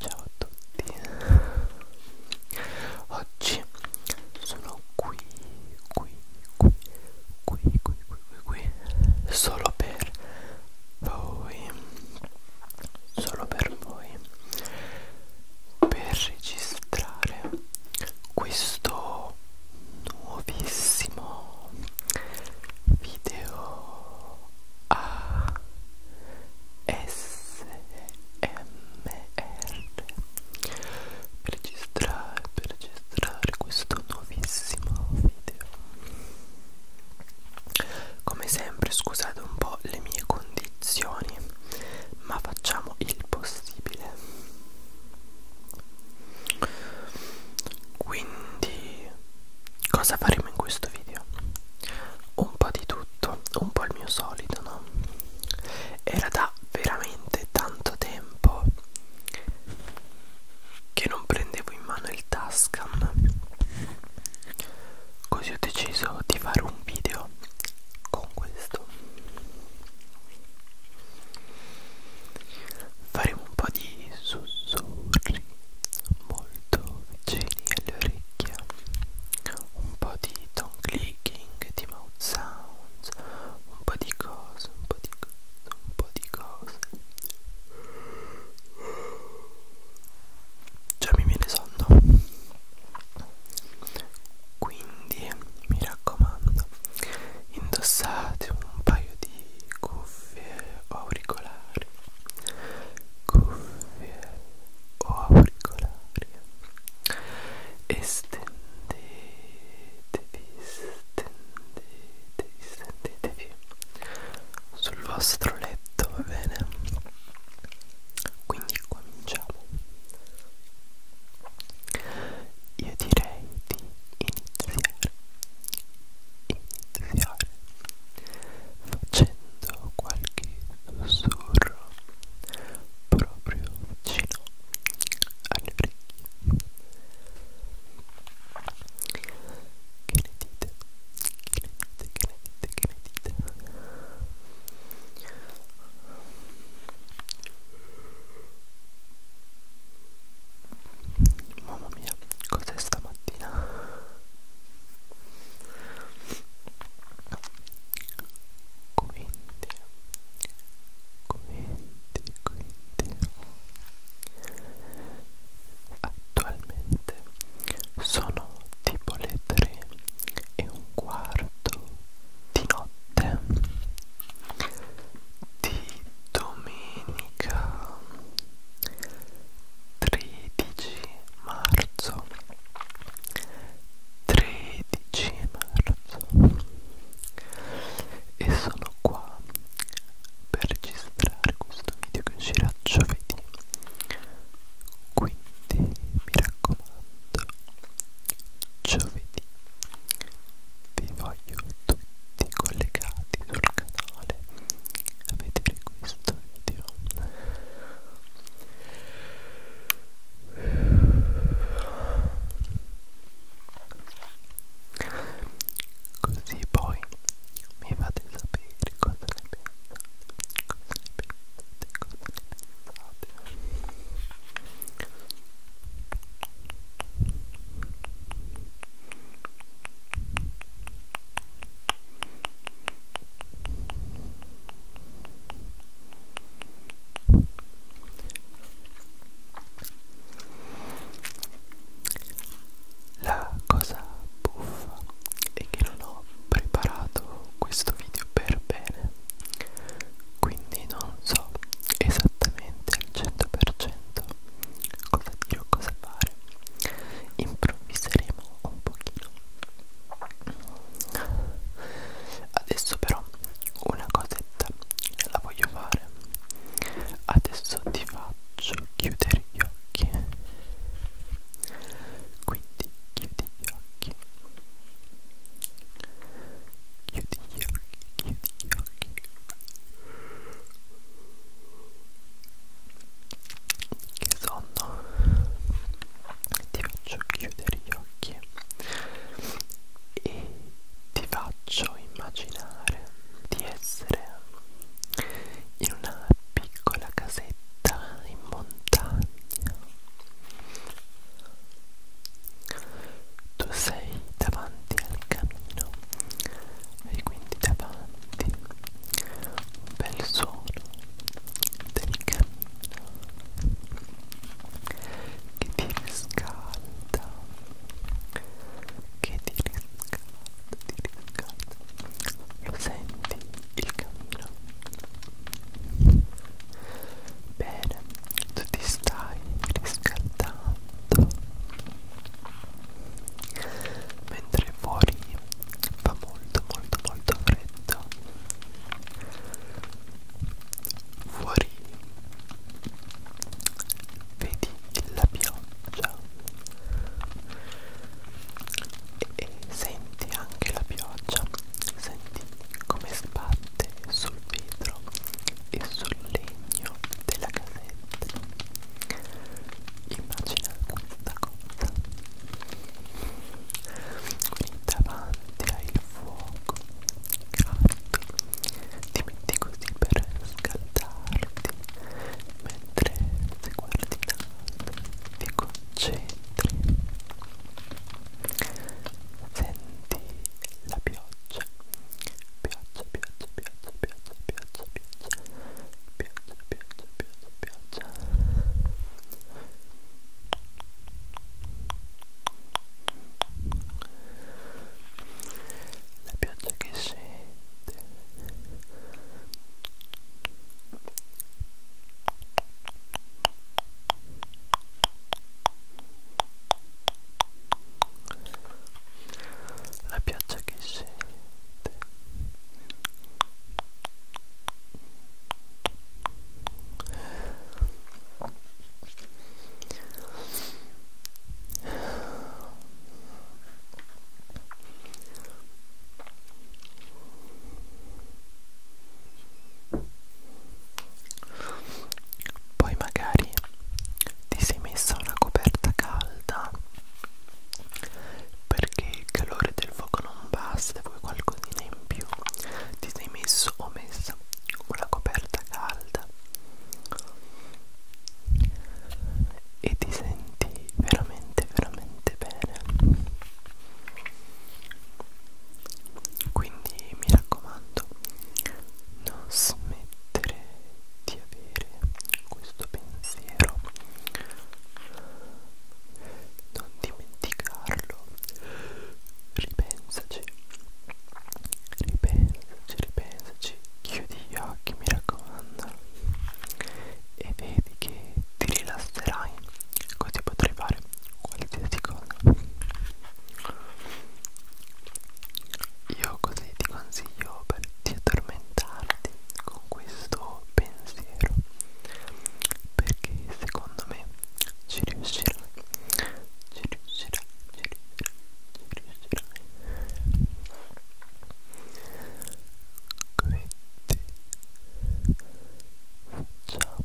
Ciao a tutti Oggi sono qui qui qui qui qui qui qui qui solo per voi solo per voi per registrare questo nuovissimo video a SMR per registrare, per registrare questo nuovissimo video come sempre scusate un po' le mie condizioni ma facciamo il possibile quindi cosa faremo in questo video? un po' di tutto tutto un po' il mio solito no era da veramente tanto tempo che non prendevo in mano il Tascam così ho deciso di fare un video con questo faremo un po' di sussurri molto vicini lì alle orecchie un po' di tongue clicking, di mouth sounds, un po' di cose, un po' di cose, un po' di cose. Già mi viene sonno. Quindi mi raccomando, indossate un paio di cuffie o auricolari. Cuffie o auricolari Estendetevi, stendetevi, stendetevi sul vostro letto, va bene? Quindi cominciamo. Io direi di iniziare, iniziare facendo qualche sussurro proprio vicino alle orecchie. Che ne dite? Che ne dite? Che ne dite? Che ne dite? Mamma mia, cos'è stamattina? quindi quindi quindi attualmente sono tipo le tre e un quarto di notte di domenica 13 marzo 13 marzo e sono qua per registrare questo video che uscirà giovedì quindi mi raccomando giovedì vi voglio tutti collegati sul canale a vedere questo Oddio. Così poi mi fate sapere cosa ne pensate, cosa ne pensate, cosa ne pensate. Ciao la cosa buffa è che non ho preparato questo video per bene, quindi non so esattamente al 100% cosa dire o cosa fare. Improvviseremo pochino un pochino adesso però una cosetta la voglio fare adesso ti faccio chiudere gli occhi quindi chiudi gli occhi chiudi gli occhi chiudi gli occhi che sonno ti faccio chiudere gli occhi e ti faccio immaginare di essere in una piccola casetta in montagna tu sei davanti al camino e quindi davanti un bel suono delicato che ti riscalda che ti riscalda, ti riscalda lo senti il cammino bene tu ti stai riscaldando mentre fuori fa molto molto molto freddo fuori vedi la pioggia e senti anche la pioggia senti come sbatte sul vetro e sul legno della casetta immagina questa cozza quindi davanti al fuoco caldo ti metti così per scaldarti mentre se guardi in alto ti concentri senti la pioggia pioggia pioggia pioggia pioggia pioggia pioggia, pioggia, pioggia, pioggia. La pioggia che scende. La pioggia che scende scelte poi magari ti sei messa una coperta calda perché il calore del fuoco non basta, vuoi qualcosina in più. Ti sei messo o messa una coperta calda e ti senti veramente, veramente bene. Quindi mi raccomando, non smettere di avere questo pensiero non dimenticarlo ripensaci ripensaci ripensaci chiudi gli occhi mi raccomando e vedi che ti rilasserai così potrai fare qualsiasi cosa io così ti consiglio per di addormentarti con questo pensiero perché secondo me ci riuscirà ci riuscirà ci riuscirà ci riuscirà quindi facciamo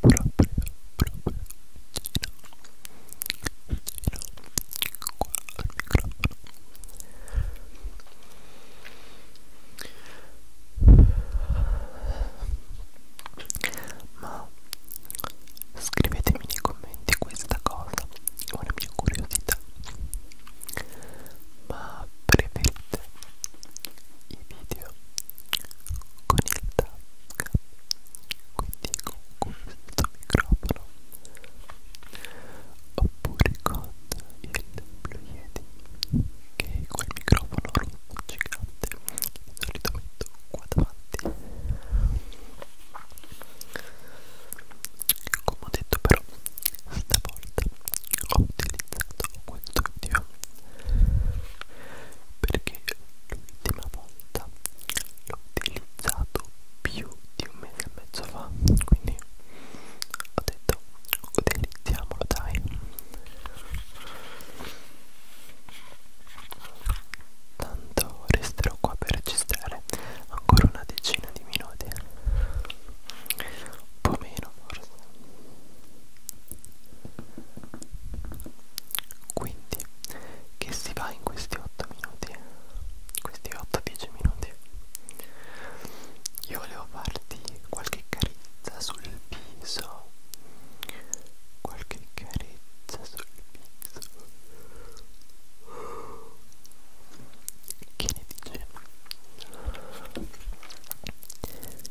qualche proprio proprio vicino vicino qua al microfono ma scrivetemi nei commenti questa cosa è una mia curiosità ma preferite i video con il tag quindi con questo microfono oppure con il Blue Yeti che è quel microfono rosso gigante che di solito metto qua davanti come ho detto però stavolta ho utilizzato questo video perché l'ultima volta l'ho utilizzato più di un mese e mezzo fa quindi ho detto utilizziamolo dai tanto resterò qua per registrare ancora una decina di minuti un po' meno forse quindi che si va in questi 8 minuti questi 8-10 minuti io volevo farti qualche carezza sul viso qualche carezza sul viso che ne dice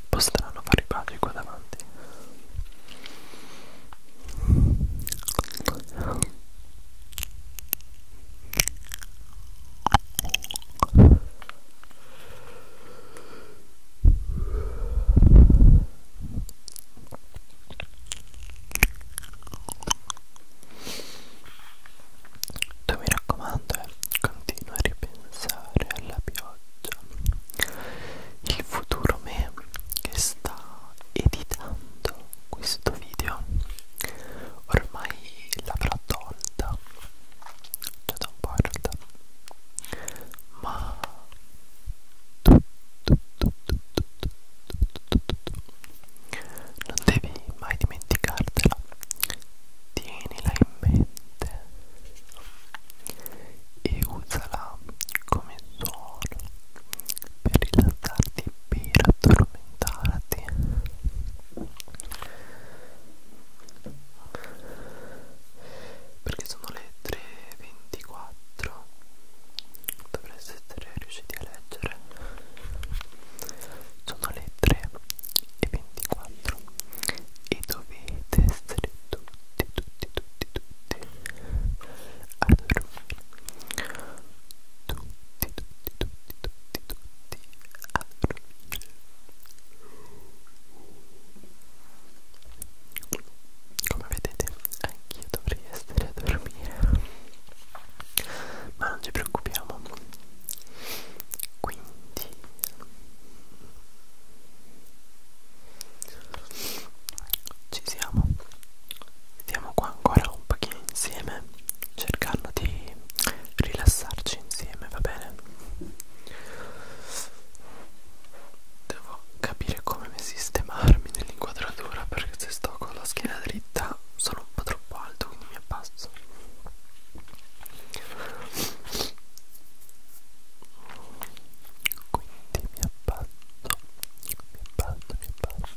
Un po' strano fare i paghi qua davanti tu mi raccomando eh, continua a ripensare alla pioggia il futuro me che sta editando questo video ormai l'avrà tolta già da un po' in realtà ma tu, tu, tu, tu, tu, tu, tu, tu, tu, tu. non devi mai dimenticartela tienila in mente e usala come suono per rilassarti e per addormentarti perché sono le 3.24 dovreste essere riusciti a leggere sono le 3 e 24 e dovete essere tutti tutti tutti tutti a dormire tutti tutti tutti tutti tutti a dormire come vedete anch'io dovrei essere a dormire ma non ci preoccupiamo quindi ci siamo stiamo qua ancora un pochino insieme cercando di rilassarci insieme va bene devo capire come sistemarmi nell'inquadratura perché se sto con la schiena dritta sono un po' troppo alto quindi mi abbasso quindi mi abbasso mi abbasso mi abbasso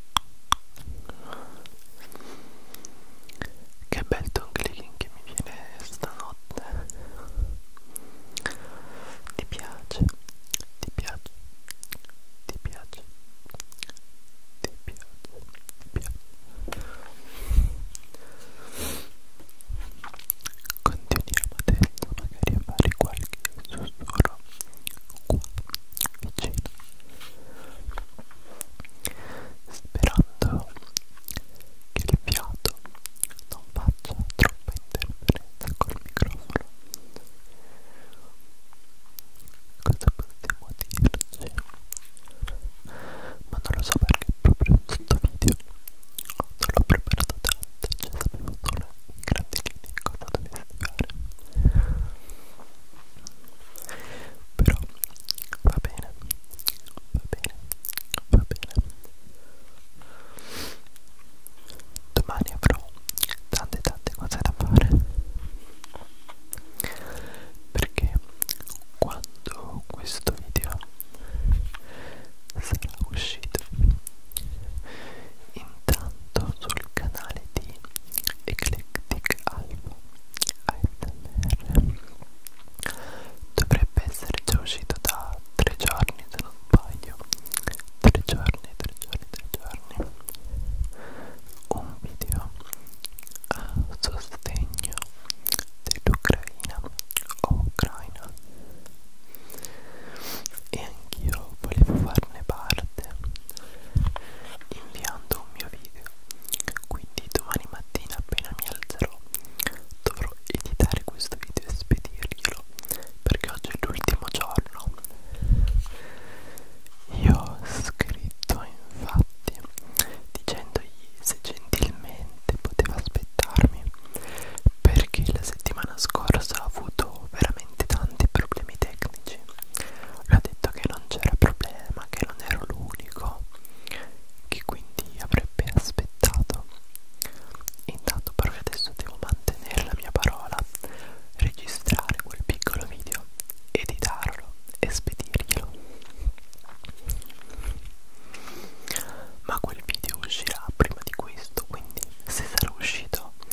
Che bel tongue clicking che mi viene stanotte Ti piace, ti piace, ti piace, ti piace, ti piace Continuiamo adesso magari a fare qualche sussurro qua vicino sperando che il fiato non faccia troppa interferenza col microfono. Cosa possiamo dirci? Ma non lo so perché proprio questo video non l'ho preparato tanto, cioè sapevo solo in grandi linee cosa dovessi fare però va bene va bene va bene domani avrò tante tante cose da fare perché quando questo video sarà uscito in soltanto sul canale di Eclectic Alpha ASMR dovrebbe essere già uscito da tre giorni se non sbaglio tre giorni tre giorni tre giorni un video a sostegno dell'Ucraina o Ucraina e anch'io volevo farne parte chiedete inviando un mio video quindi domani mattina appena mi alzerò dovrò editare questo video e spedirglielo perché oggi è l'ultimo giorno io ho scritto infatti dicendogli se gentilmente poteva aspettarmi perché la settimana scorsa ho avuto veramente tanti problemi tecnici amici. Le ho detto che non c'era problema, che non ero l'unico, che quindi avrebbe aspettato. Intanto però adesso devo mantenere la mia parola, registrare quel piccolo video, editarlo e spedirglielo. Ma quel video uscirà prima di questo, quindi se sarà uscito ce l'avrò fatta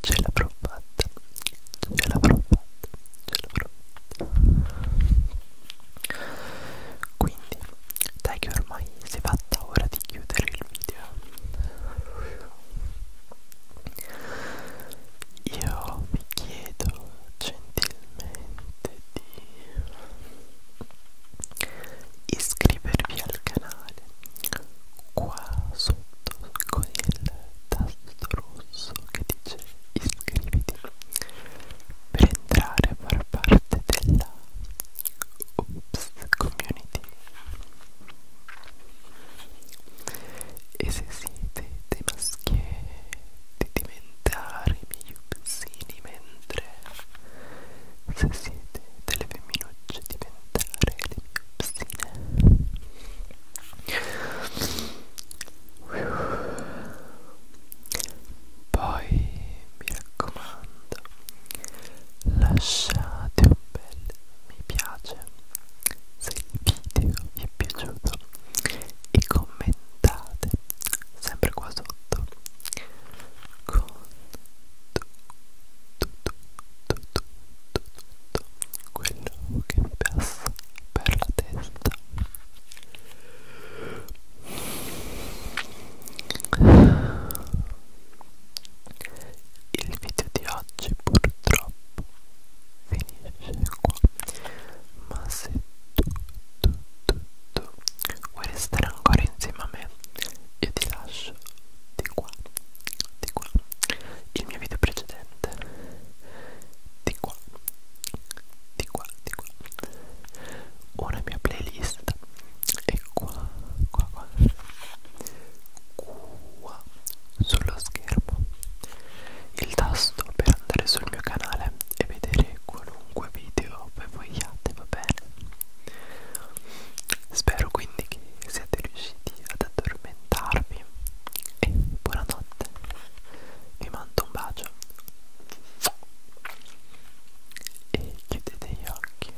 ce l'avrò fatta ce l'avrò fatta ce l'avrò fatta quindi dai che ormai si è fatta ora di chiudere il video io vi chiedo gentilmente di iscrivervi al canale qua sotto con il tasto rosso che dice iscriviti per entrare a far parte della Oops Community e se siete dei maschietti diventare i miei upsini mentre se siete vide delle femminucce diventare le mie psine. Poi mi raccomando, lasciate un bel mi piace se il video vi è piaciuto e commentate sempre qua sotto con quello che mi passa per la testa il video di oggi purtroppo finisce qua ma se tu, tu, tu, tu vuoi restare ancora insieme a me io ti lascio di qua, di qua, il mio video precedente, di qua, di qua, di qua, una mia playlist e qua, qua, qua, qua, sullo schermo, il tasto per andare sul mio canale e vedere qualunque video voi vogliate, va bene? Spero quindi che siate riusciti ad addormentarvi e buonanotte. Vi mando un bacio e chiudete gli occhi.